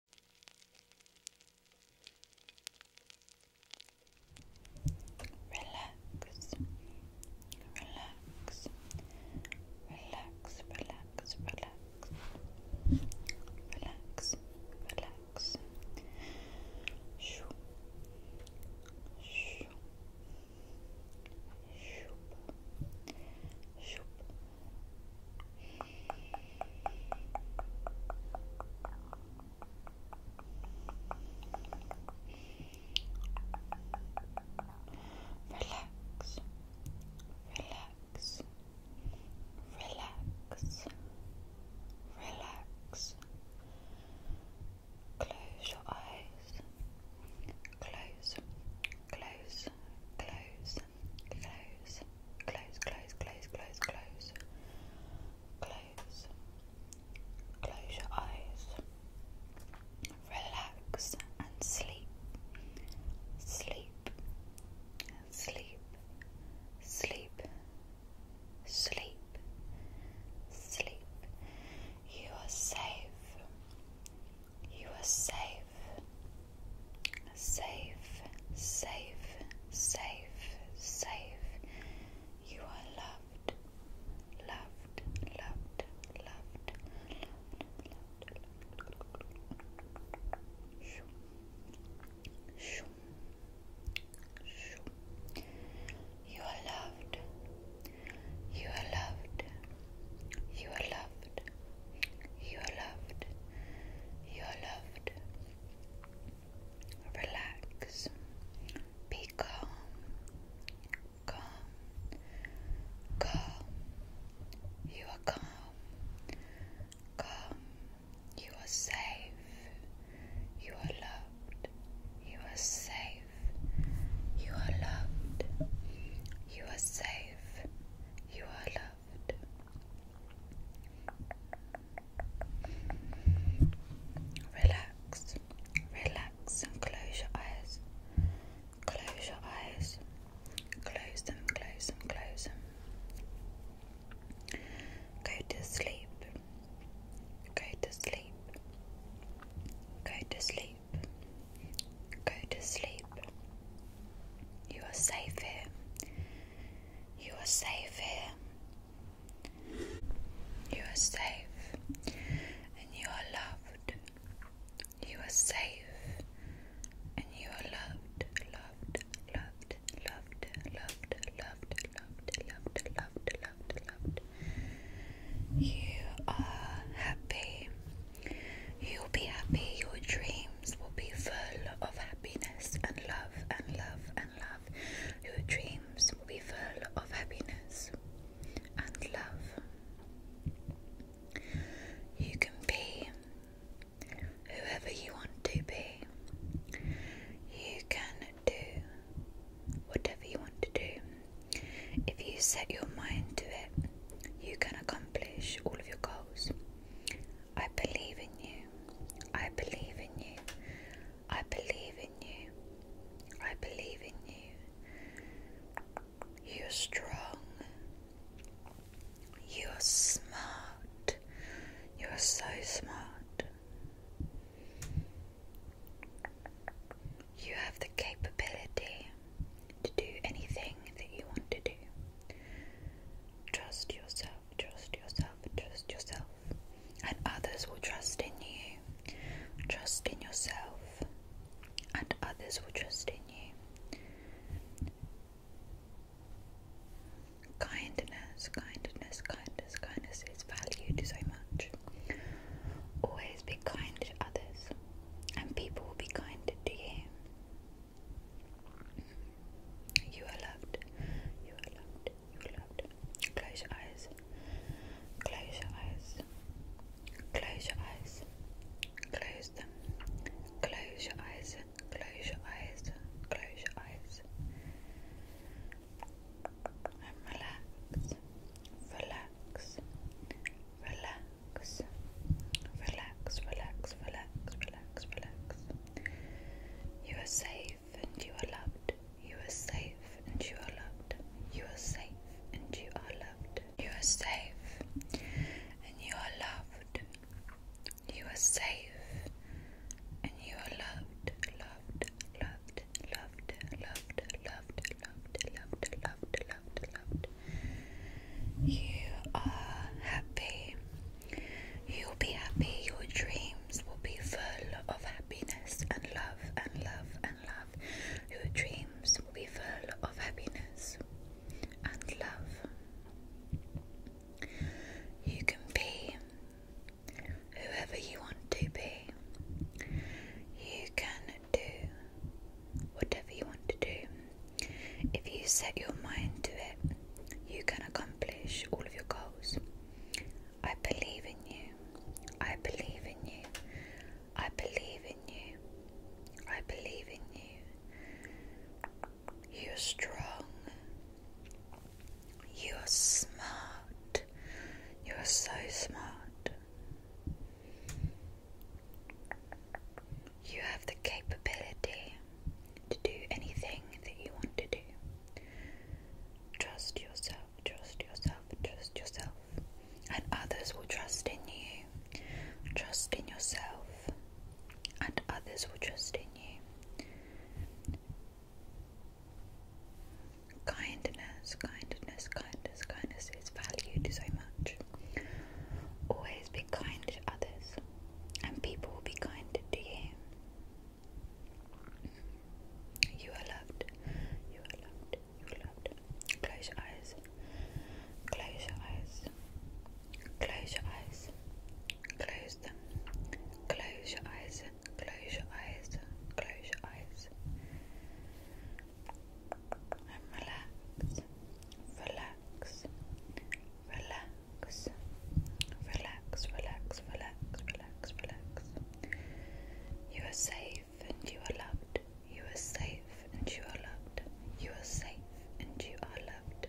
Relax, relax, relax, relax, relax, relax, relax. Shoo, shoo, shoop, shoop, Relax, relax, relax, relax. Close your eyes. Close, close, close, close, close, close, close, close, close, close, close your eyes, relax and sleep, sleep, sleep, sleep, sleep, sleep. You are safe. You are safe, safe, safe, safe, safe. You are loved, loved, loved, loved, loved, You are loved. You are loved. You are loved. You are loved. You are loved. Relax. Be calm. Calm. Calm. You are calm. Calm. You are safe. You are loved. You are safe. You are loved. You are safe. You are loved. Relax, relax, and close your eyes. Close your eyes. Close them, close them, close them. Go to sleep. Go to sleep. Go to sleep. Go to sleep. You are safe here. You are safe here. You are safe and you are loved. You are safe and you are loved, loved, loved, loved, loved, loved, loved, loved, loved, loved, loved. You are happy. You'll be happy, your dreams will be full of happiness and love and love and love. Your dreams will be full of happiness and love. You can be whoever you want to be. You can do whatever you want to do. If you set your mind to it, you can accomplish all of your goals. I believe in you. I believe in you. I believe in you. I believe in you. You're strong. You're smart. You're so smart. You have the capability to do anything that you want to do. Trust yourself, trust yourself, trust yourself. And others will trust in you. Trust in yourself. And others will trust in you. Kindness, kindness, kindness, kindness is valued so much. Always be kind to others and people will be kind to you. You are loved. You are loved. You are loved. Close your eyes. Close your eyes. Close your eyes. Close them. Close your eyes. Close your eyes. Close your eyes. And relax. Relax relax, relax, relax, relax, relax, relax. You are safe and you are loved. You are safe and you are loved. You are safe and you are loved. You are safe and you are loved. You are safe and you are loved, loved, loved, loved, loved, loved, loved, loved, loved, loved, loved, You are happy. You'll be happy. Your dreams will be full of happiness and love and love and love. Your dreams will be full of happiness and love. You can be whoever you want to be. You can do whatever you want to do. If you set your mind to it, you can accomplish all of your goals. I believe in you. I believe in you. I believe in you. I believe in you. You're strong. You're smart. You're so smart. You have the capability to do anything that you want to do. Trust yourself, trust yourself, trust yourself, and others will trust in you. Trust in yourself, and others will trust in you. Kindness, kindness, kindness, kindness is valued so much. Always be kind to others, and people will be kind to you. You are loved. You are loved. You are loved. Close your eyes. Close your eyes. Close your eyes. Close them. Close your eyes. Close your eyes. Close your eyes. And relax. Relax. Relax. Relax, relax, relax, relax, relax. You are safe and you are loved. You are safe and you are loved. You are safe and you are loved.